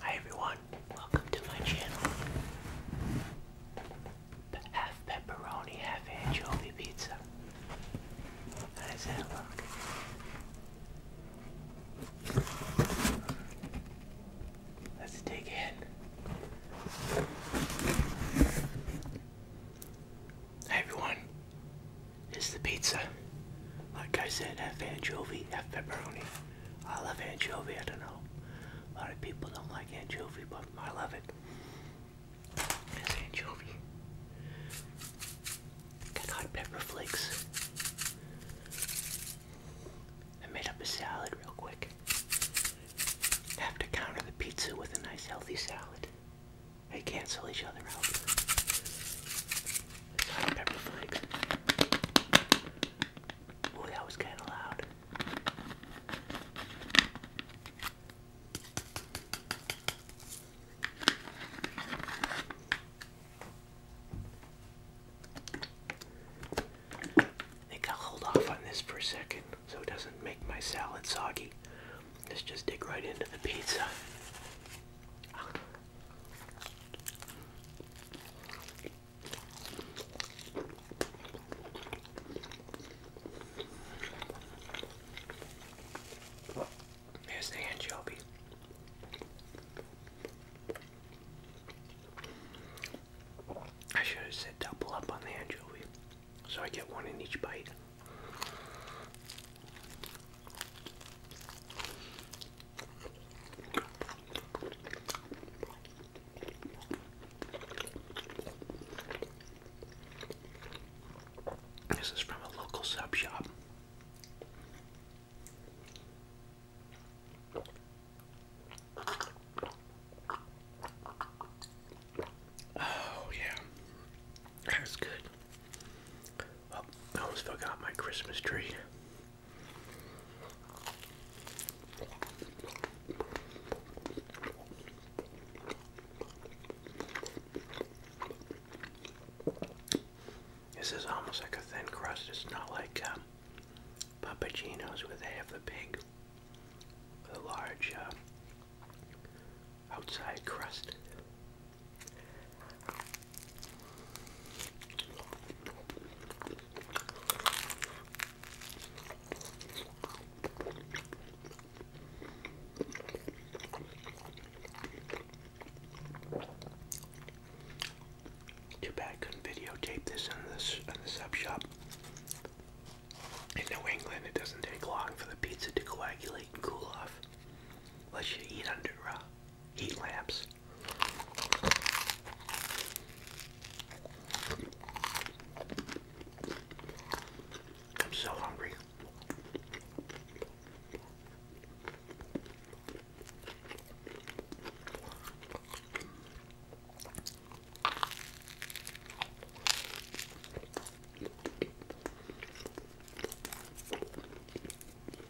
Hi everyone, welcome to my channel. Half pepperoni, half anchovy pizza. How's that look? Let's dig in. Hi everyone, it's the pizza. Like I said, f anchovy, f pepperoni. I love anchovy, I don't know. A lot of people don't like anchovy, but I love it. It's anchovy. hot pepper flakes. I made up a salad real quick. I have to counter the pizza with a nice healthy salad. They cancel each other out. Sorry, pepper flakes. Oh, that was kind of loud. think I'll hold off on this for a second so it doesn't make my salad soggy. Let's just dig right into the pizza. Here's the anchovy. I should have said double up on the anchovy so I get one in each bite. This is from a local sub shop. Oh, yeah, that's good. Oh, I almost forgot my Christmas tree. This is almost like a thin crust. It's not like um, where they have the big, the large uh, outside crust. Too bad couldn't videotape this in this in the sub shop. In New England, it doesn't take long for the pizza to coagulate and cool off, unless you eat under raw. Eight lamps. I'm so hungry.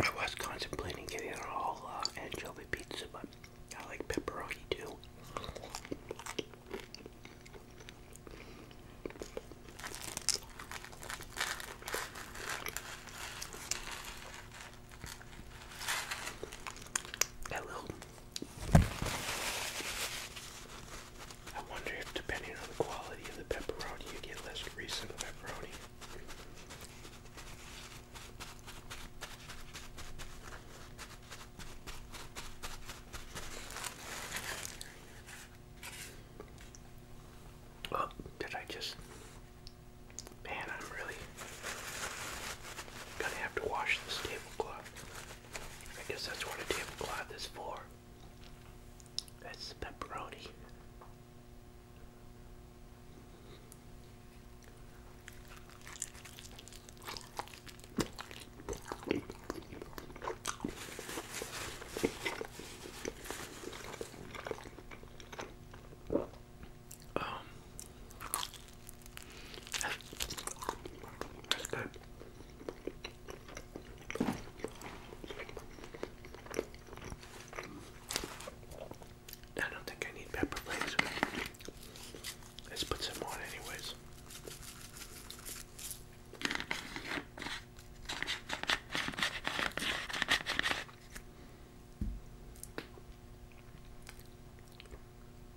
I was contemplating getting an all uh, anchovy pizza, but I like pepperoni too. That I wonder if, depending on the quality of the pepperoni, you get less grease in the pepperoni. Oh, did I just. Man, I'm really gonna have to wash this tablecloth. I guess that's what a damn glad is for. That's pepperoni. Um, I don't think I need pepper flakes. Let's put some on anyways.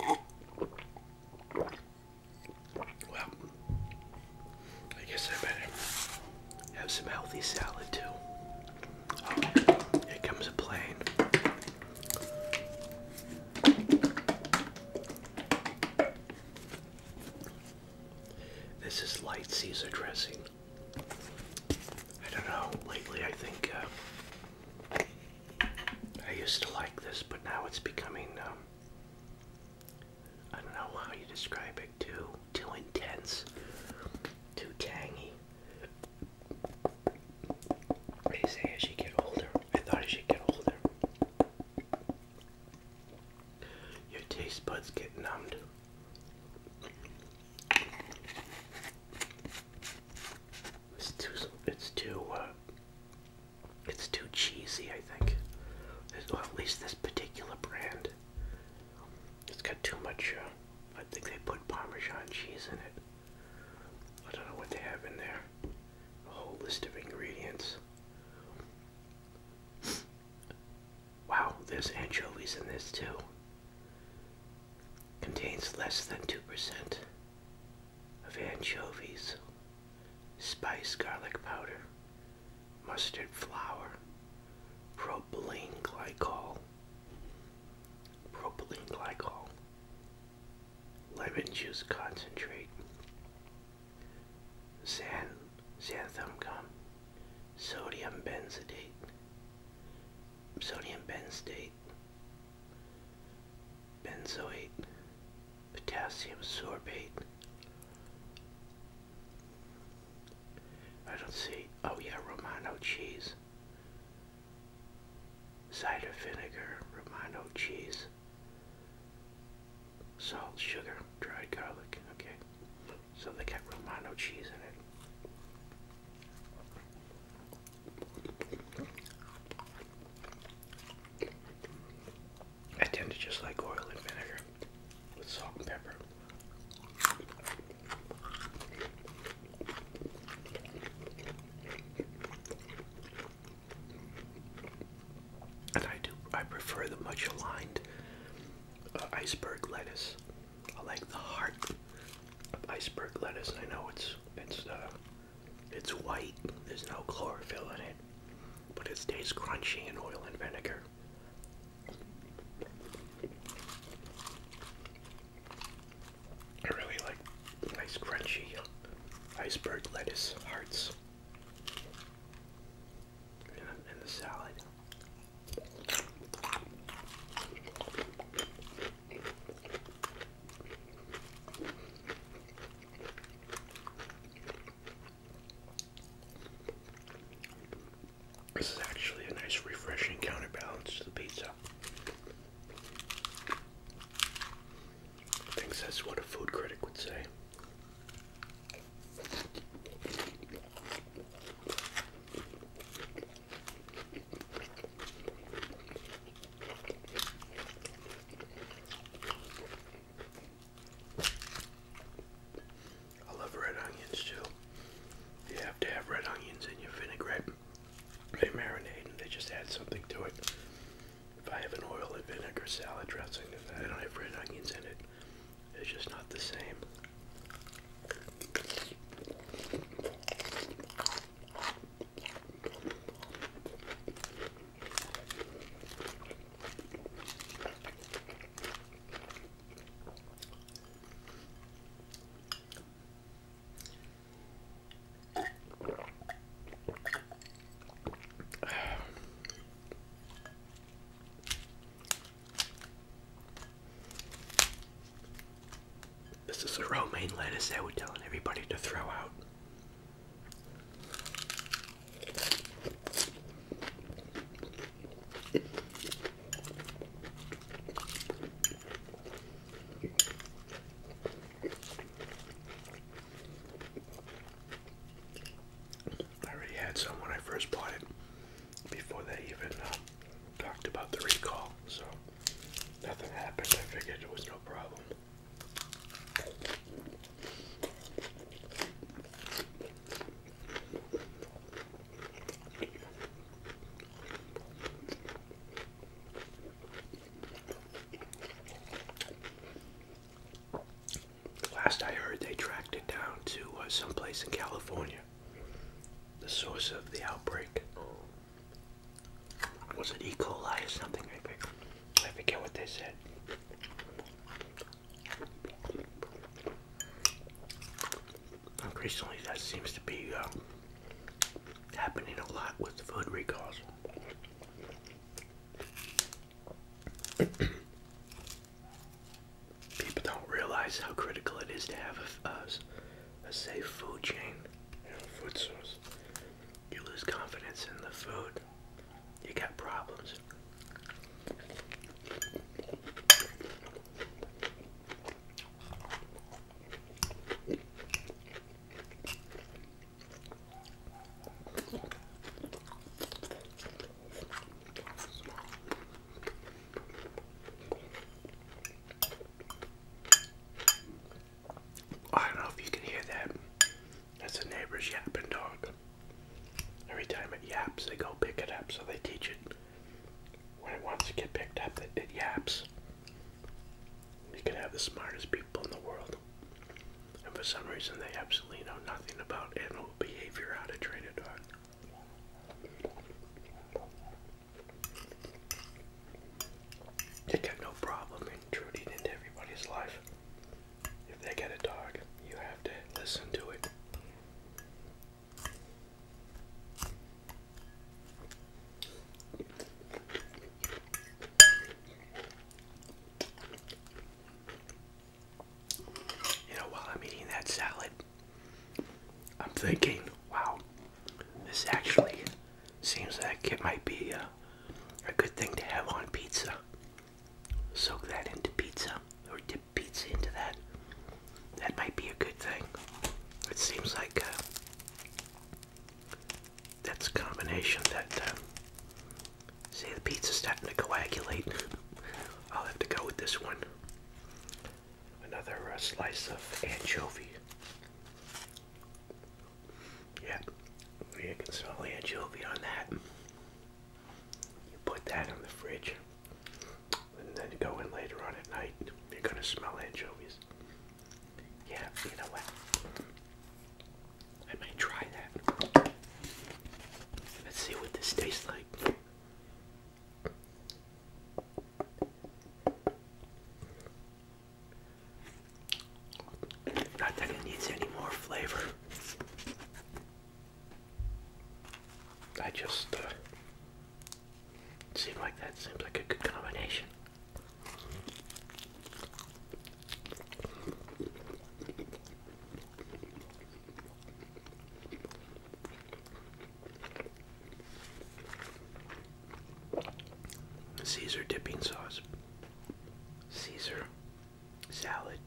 Well, I guess I better have some healthy salad too. here comes a plane. This is light Caesar dressing. I don't know. Lately, I think uh, I used to like this, but now it's becoming, um, I don't know how you describe it, too, too intense, too tangy. They say as you get older, I thought as should get older, your taste buds get numbed. It's too. It's too. Uh, it's too cheesy. I think. Well, at least this particular brand. It's got too much. Uh, I think they put Parmesan cheese in it. I don't know what they have in there. A whole list of ingredients. Wow, there's anchovies in this too. Contains less than 2% of anchovies, spice garlic powder, mustard flour, propylene glycol, propylene glycol, lemon juice concentrate, xan xanthan gum, sodium benzoate, sodium benzoate, benzoate, potassium sorbate. I don't see, oh yeah, Romano cheese, cider vinegar, Romano cheese, salt, sugar, dried garlic, okay so they got Romano cheese in it. I tend to just like oil and vinegar with salt and pepper. And I do, I prefer the much aligned uh, iceberg lettuce I like the heart of iceberg lettuce. I know it's it's uh, it's white. There's no chlorophyll in it, but it stays crunchy in oil and vinegar. I really like nice crunchy iceberg lettuce hearts in the salad. This is actually a nice, refreshing counterbalance to the pizza. I think that's what a food critic would say. I love red onions too. You have to have red onions in your vinaigrette. They marinate and they just add something to it. If I have an oil and vinegar salad dressing, I don't have red onions in it, it's just not the same. This is the romaine lettuce that we're telling everybody to throw out. I already had some when I first bought it before they even um, talked about the recall. So nothing happened. I figured it was no problem. Last I heard, they tracked it down to uh, someplace in California the source of the outbreak was it E. coli or something? I forget what they said. Increasingly, that seems to be uh, happening a lot with food recalls people don't realize how critical it is to have a, safe food chain, you food source. You lose confidence in the food, you got problems. I don't know if you can hear that. That's a neighbor's yapping dog. Every time it yaps, they go pick it up, so they teach it. When it wants to get picked up, it, it yaps. You can have the smartest people in the world. And for some reason, they absolutely know nothing about animal behavior, how to train a dog. It got no problem intruding into everybody's life. If they get a dog, you have to listen to it. You know, while I'm eating that salad, I'm thinking, wow, this actually seems like it might be a, good thing to have on pizza. Soak that into pizza or dip pizza into that. That might be a good thing. It seems like uh, that's a combination that, uh, see, the pizza's starting to coagulate. I'll have to go with this one. Another uh, slice of anchovy. Yeah, you can smell anchovy on that. You put that in the fridge, and then go in later on at night. You're gonna smell anchovies. Yeah, you know what? I might try that. Let's see what this tastes like. Not that it needs any more flavor. I just uh, like that seems like a good combination. Caesar dipping sauce, Caesar salad,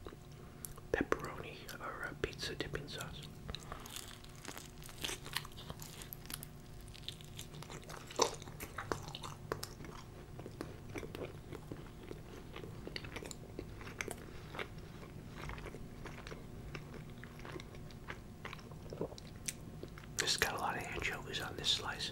pepperoni, or pizza dipping sauce. This has got a lot of anchovies on this slice.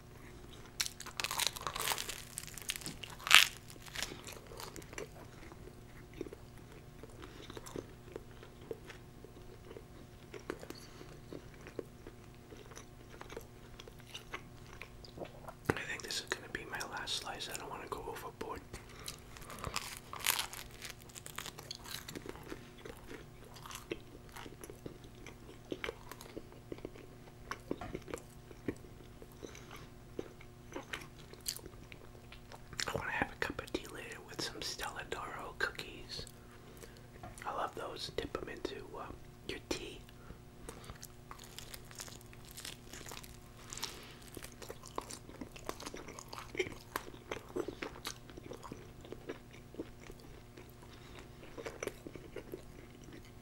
I think this is going to be my last slice. I don't want to go overboard. I want to have a cup of tea later with some Stella Doro cookies. I love those. Dip them into um, your tea.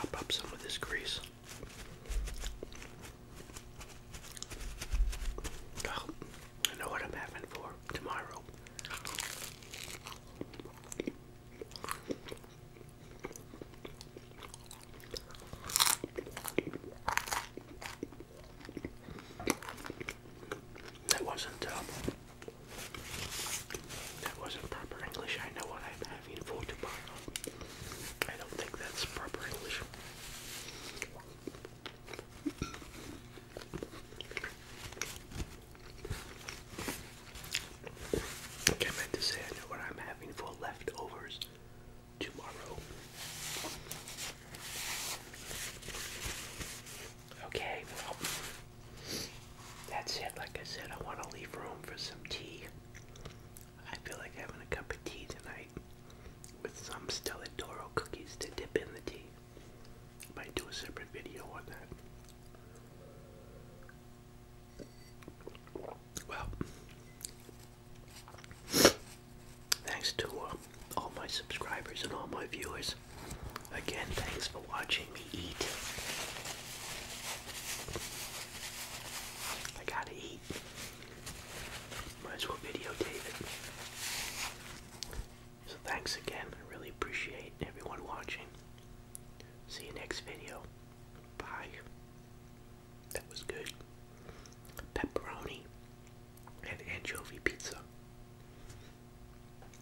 to up some of this grease. I know what I'm having for tomorrow. That wasn't tough. That wasn't proper English. I know what I'm having for tomorrow. I don't think that's proper English. I meant to say I know what I'm having for leftovers tomorrow. Okay, well, that's it. Like I said, I want to leave room for some tea. I feel like having a cup of tea tonight with some stelladoro cookies to dip in the tea. Might do a separate video on that. Well, thanks to uh, all my subscribers and all my viewers. Again, thanks for watching me eat. I gotta eat. Might as well videotape it. So thanks again. I really appreciate everyone watching. See you next video. Bye. That was good. Pepperoni and anchovy pizza.